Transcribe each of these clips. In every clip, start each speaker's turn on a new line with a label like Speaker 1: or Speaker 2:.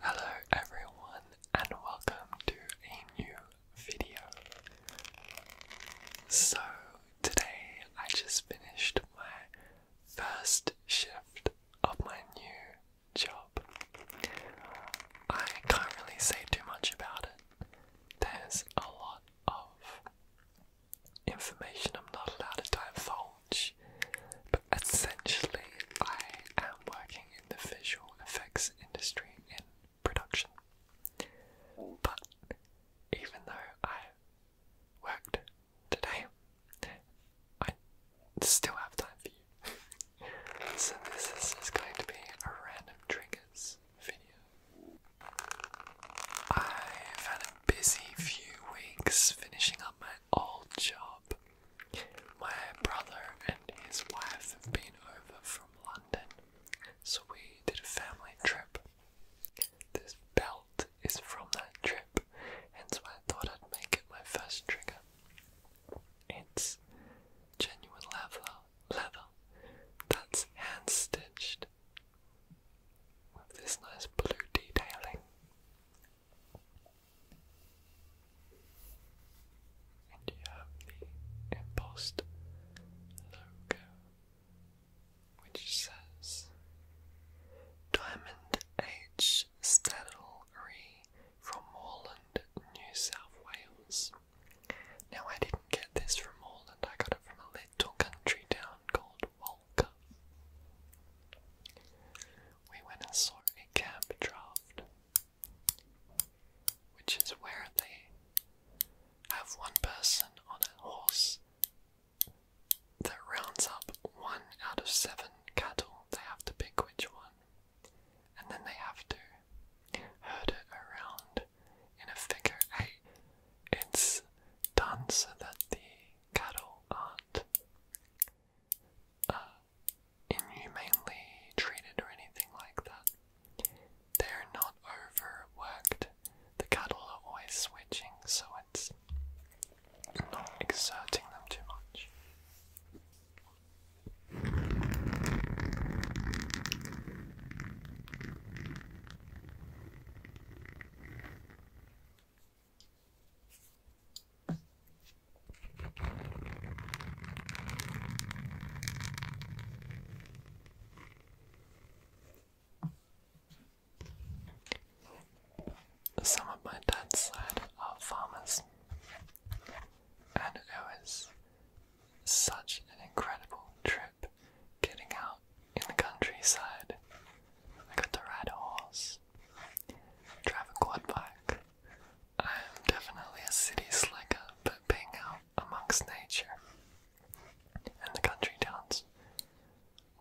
Speaker 1: Hello everyone and welcome to a new video. So today I just finished my first shift of my new job. I can't really say too much about it. There's a lot of information I'm not allowed to divulge but essentially, I am working in the visual effects industry in production. But even though I worked today, I still have time for you. so, this is going to be a random triggers video. i had a busy few weeks finishing up my old job my brother and his wife have been over from London, so we did a family trip. This belt is from that trip, and so I thought I'd make it my first trigger. It's genuine leather, leather that's hand stitched with this nice blue detailing. And you have the embossed logo which says Diamond H Saddlery from Morland, New South Wales. Now I didn't get this from Moreland, I got it from a little country town called Walker we went and saw a cab draft, which is where they have one person on a horse that rounds up one out of seven cattle. They have to pick which one, and then they have to herd it around in a figure eight. It's done so that the cattle aren't uh, inhumanely treated or anything like that. They're not overworked. The cattle are always switching, so it's not exerting them too much. Some of my dad's side are farmers, and it was such an incredible trip getting out in the countryside. I got to ride a horse, drive a quad bike, I'm definitely a city slicker, but being out amongst nature and the country towns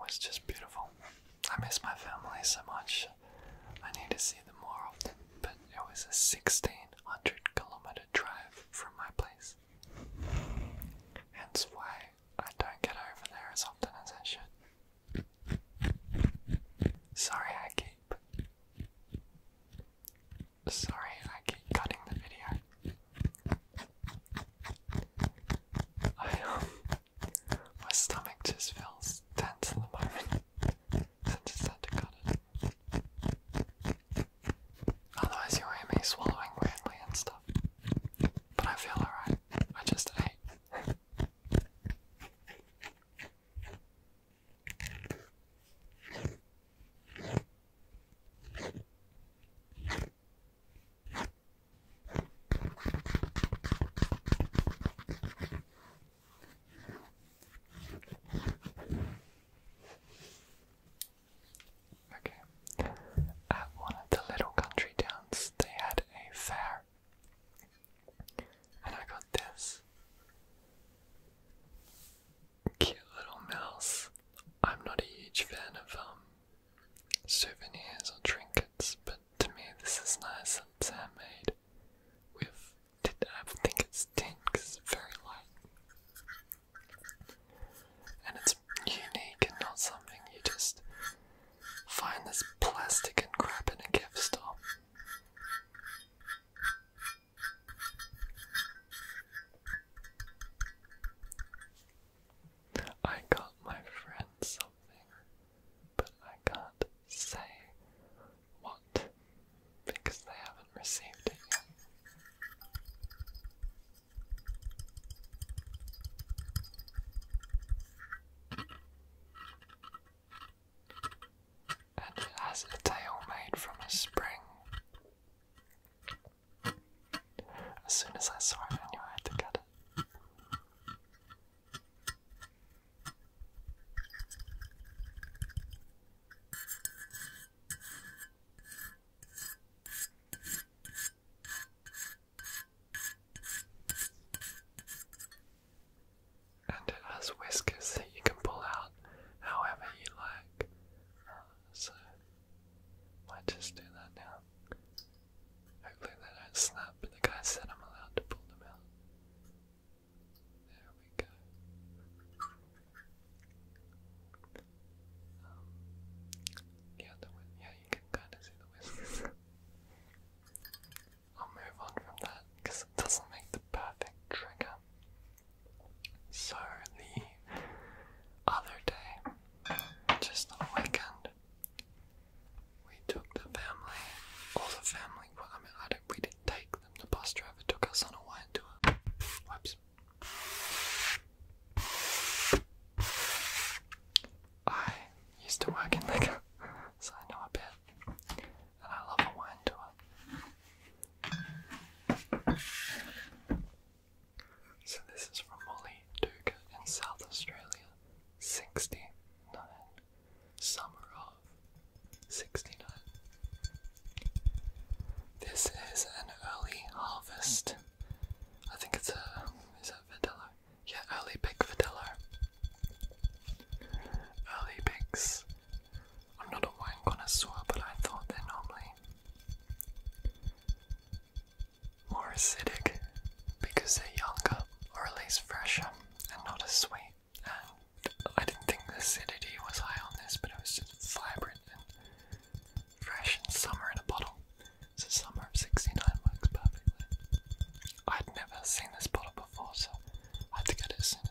Speaker 1: was just beautiful. I miss my family so much. I need to see them more often, but it was a 1600 kilometer drive from my place. Hence why I don't get over there as often as I should. Sorry, I keep. Sorry, I keep cutting the video. I um, my stomach just feels tense at the moment. So I just had to cut it. Otherwise, you are hear me swallowing grandly and stuff. But I feel alright. I just ate. Okay. At one of the little country towns, they had a fair and I got this cute little mouse. I'm not a huge fan of um, souvenirs or trinkets, but to me this is nice. and handmade. With I think it's tint because it's very light, and it's unique and not something you just find this plastic crap in a gift store. I got my friend something, but I can't say what because they haven't received it yet and it has a tail made from a spring. As soon as I saw it, I knew I had to get it and it has whiskers that you can pull out however you like. Uh, so, might just do that now. Hopefully they don't snap, the guy said I'm allowed to pull them out. There we go. Um, yeah, the, yeah, you can kind of see the whiskers. I'll move on from that because it doesn't make the perfect trigger. So, the other day, just on the weekend, we took the family, all the family, well, I mean, I don't, we didn't take them, the bus driver took us on a wine tour. Whoops. I used to work in liquor, so I know a bit and I love a wine tour. So this is from Molly Duca in South Australia, 69, summer of 69. This is an early harvest. I think it's a, is that Verdello? Yeah, early pick Verdello. Early picks I'm not a wine connoisseur, but I thought they're normally more acidic because they're younger or at least fresher and not as sweet. And I didn't think the acidity was high on this, but it was just vibrant and fresh and summer in a bottle. So summer of 69 works perfectly. I'd never seen this bottle before, so I had to get it soon.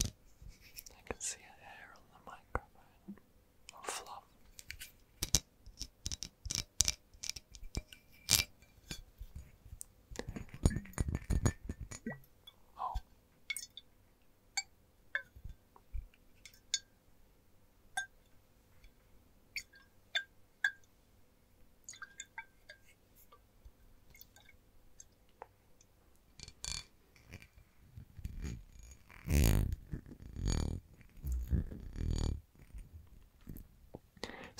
Speaker 1: I can see a hair on the microphone fluff. Oh.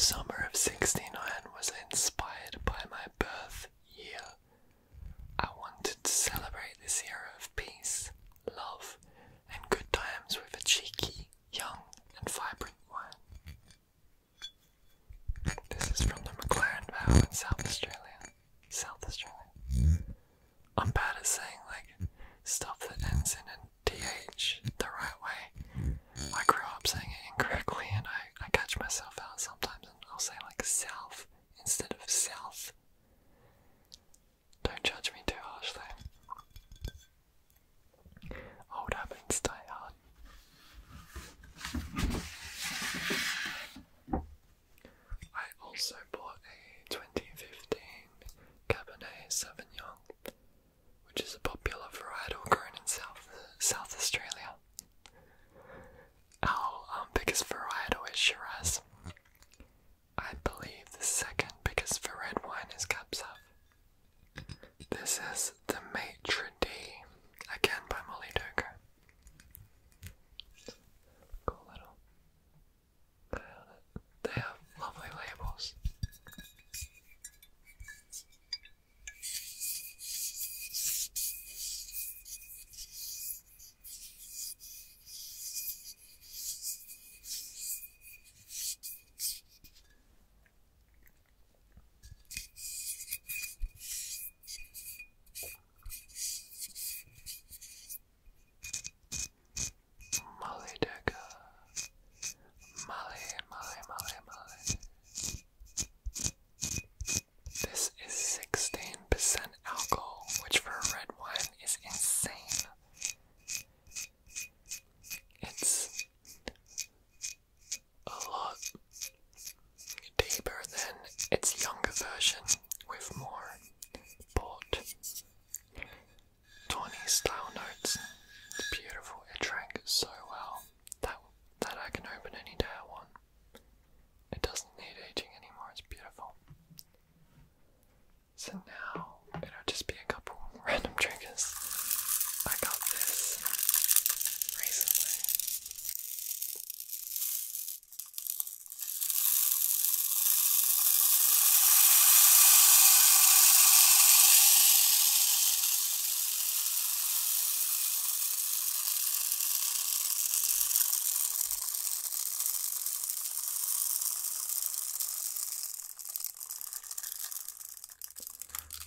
Speaker 1: Summer of 69 was inspired by my birth year. I wanted to celebrate this era of peace, love, and good times with a cheeky, young, and vibrant wine. This is from the McLaren Vow in South Australia. South Australian. I'm bad at saying like stuff that ends in a th the right way. I grew up saying it incorrectly, and I I catch myself out sometimes, and I'll say like self instead of self. Don't judge me too harshly. Old habits die hard. I also bought a 2015 Cabernet Sauvignon, which is a popular varietal grown in South, South Australia. Our um, biggest variety is Shiraz. I believe the second biggest for red wine is Cab Sauv. This is the Maitre D, again by Molly Dogo. Cool little violet. They have lovely labels. Molly Decker. Molly, Molly, Molly, Molly. This is 16% alcohol, which for red wine is insane. It's a lot deeper than its younger version with more bold, tawny style notes. It's beautiful, it drank so well that that I can open any day I want. It doesn't need aging anymore, it's beautiful. So now it'll just be a couple random triggers. I got this recently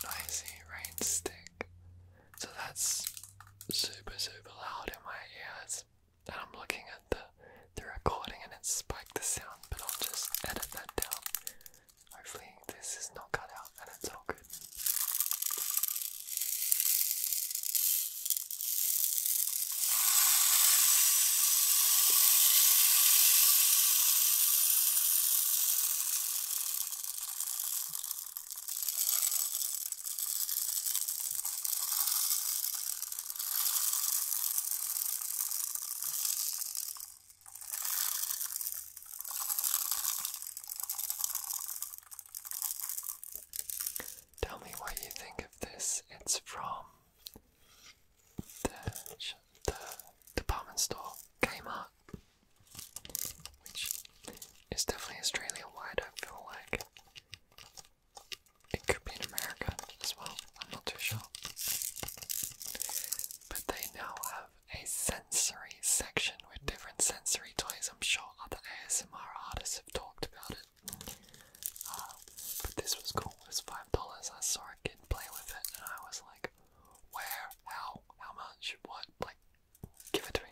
Speaker 1: noisy rain So that's super super loud in my ears and I'm looking at the the recording and it spiked the sound, but I'll just edit that down. Hopefully this is not cut out and it's all Tell me what you think of this. It's from the, the department store Kmart, which is definitely Australia wide, I feel like. It could be in America as well, I'm not too sure. But they now have a sensory section with different sensory toys. I'm sure other ASMR artists have talked about it. Uh, but this was cool. was five dollars. I saw a kid play with it, and I was like, "Where? How? How much? What? Like, give it to me."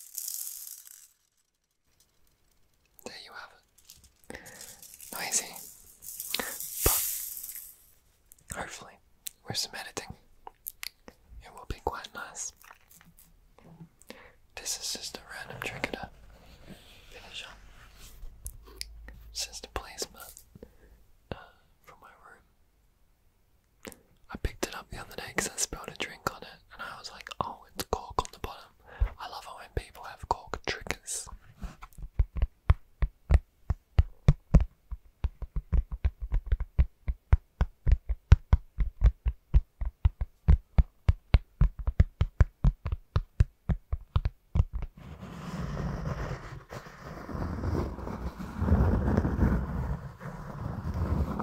Speaker 1: There you have it. Noisy. But hopefully, with some editing, it will be quite nice. This is just a random trigger to finish up. just a placement uh, my room. I picked it up the other day because I spilled a drink on it, and I was like, oh, it's cork on the bottom. I love it when people have cork triggers.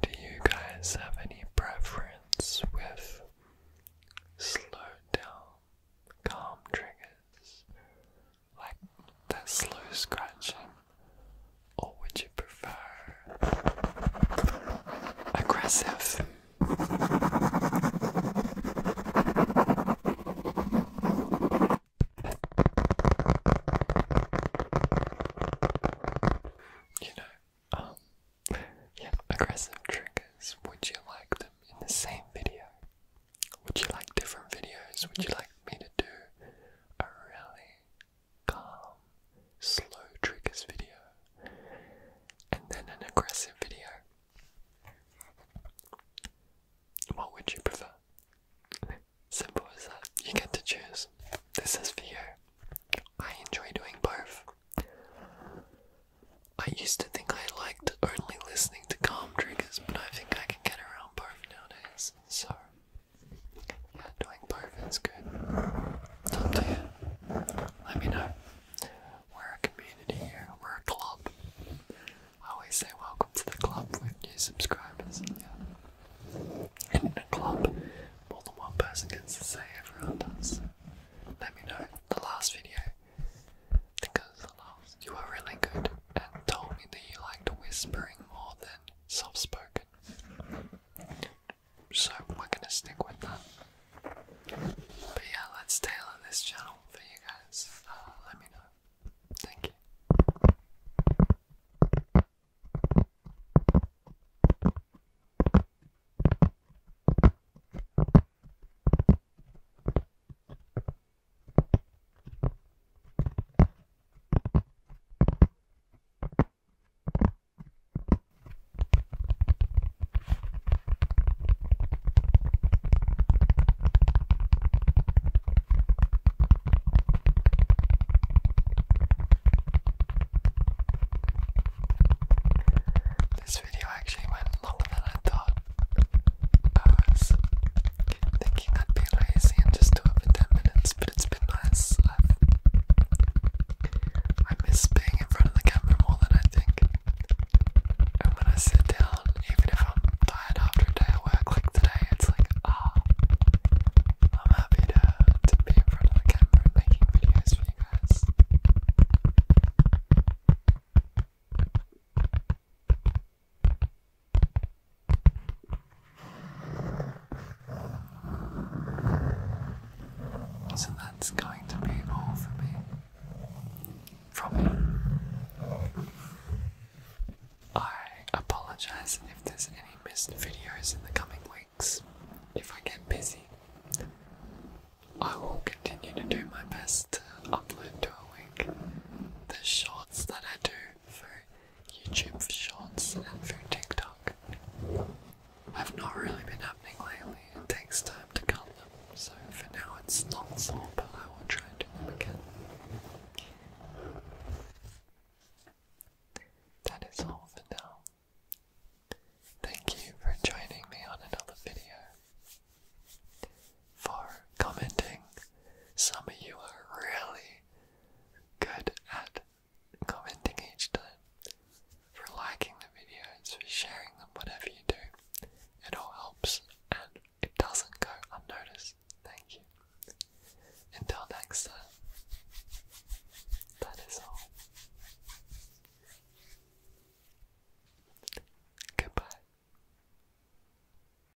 Speaker 1: Do you guys have any preference with slow down calm triggers like that slow scratching, or would you prefer aggressive? You know, um, yeah, aggressive triggers. Would you like them in the same video? Would you like different videos? Would you like me to do a really calm, slow triggers video and then an aggressive video? What would you prefer? Simple as that. You get to choose. This is for you. I enjoy doing both. I used to think I liked only listening to calm triggers, but I think I can get around own nowadays, so yeah, doing barf good. It's up to you. Let me know. We're a community here, we're a club. I always say welcome to the club with new subscribers. Yeah. in a club, more than one person gets to say everyone does. Let me know. The last video because you were really good and told me that you liked whispering more than soft spoken. So we're gonna stick with that. But yeah, let's tailor this channel for you guys. Uh, let me know. Thank you. This video actually went longer than I thought. I thinking I'd be lazy and just do it for 10 minutes, but it's been nice. i miss being in front of the camera more than I think. And when I sit down, even if I'm tired after a day of work like today, it's like, ah, I'm happy to, to be in front of the camera making videos for you guys. So that's going to be all for me. From me. I apologize if there's any missed videos in the coming weeks. If I get busy, I will continue to do my best to upload to the shorts that I do for YouTube Shorts and for TikTok have not really been happening lately. takes time to cut them, so for now it's not so, but I will try and do them again. That is all for now. Thank you for joining me on another video for commenting. Some of you are really good at commenting each time, for liking the videos, for sharing them, whatever you do. It all helps and it doesn't go unnoticed. Thank you. Until next time, that is all. Goodbye.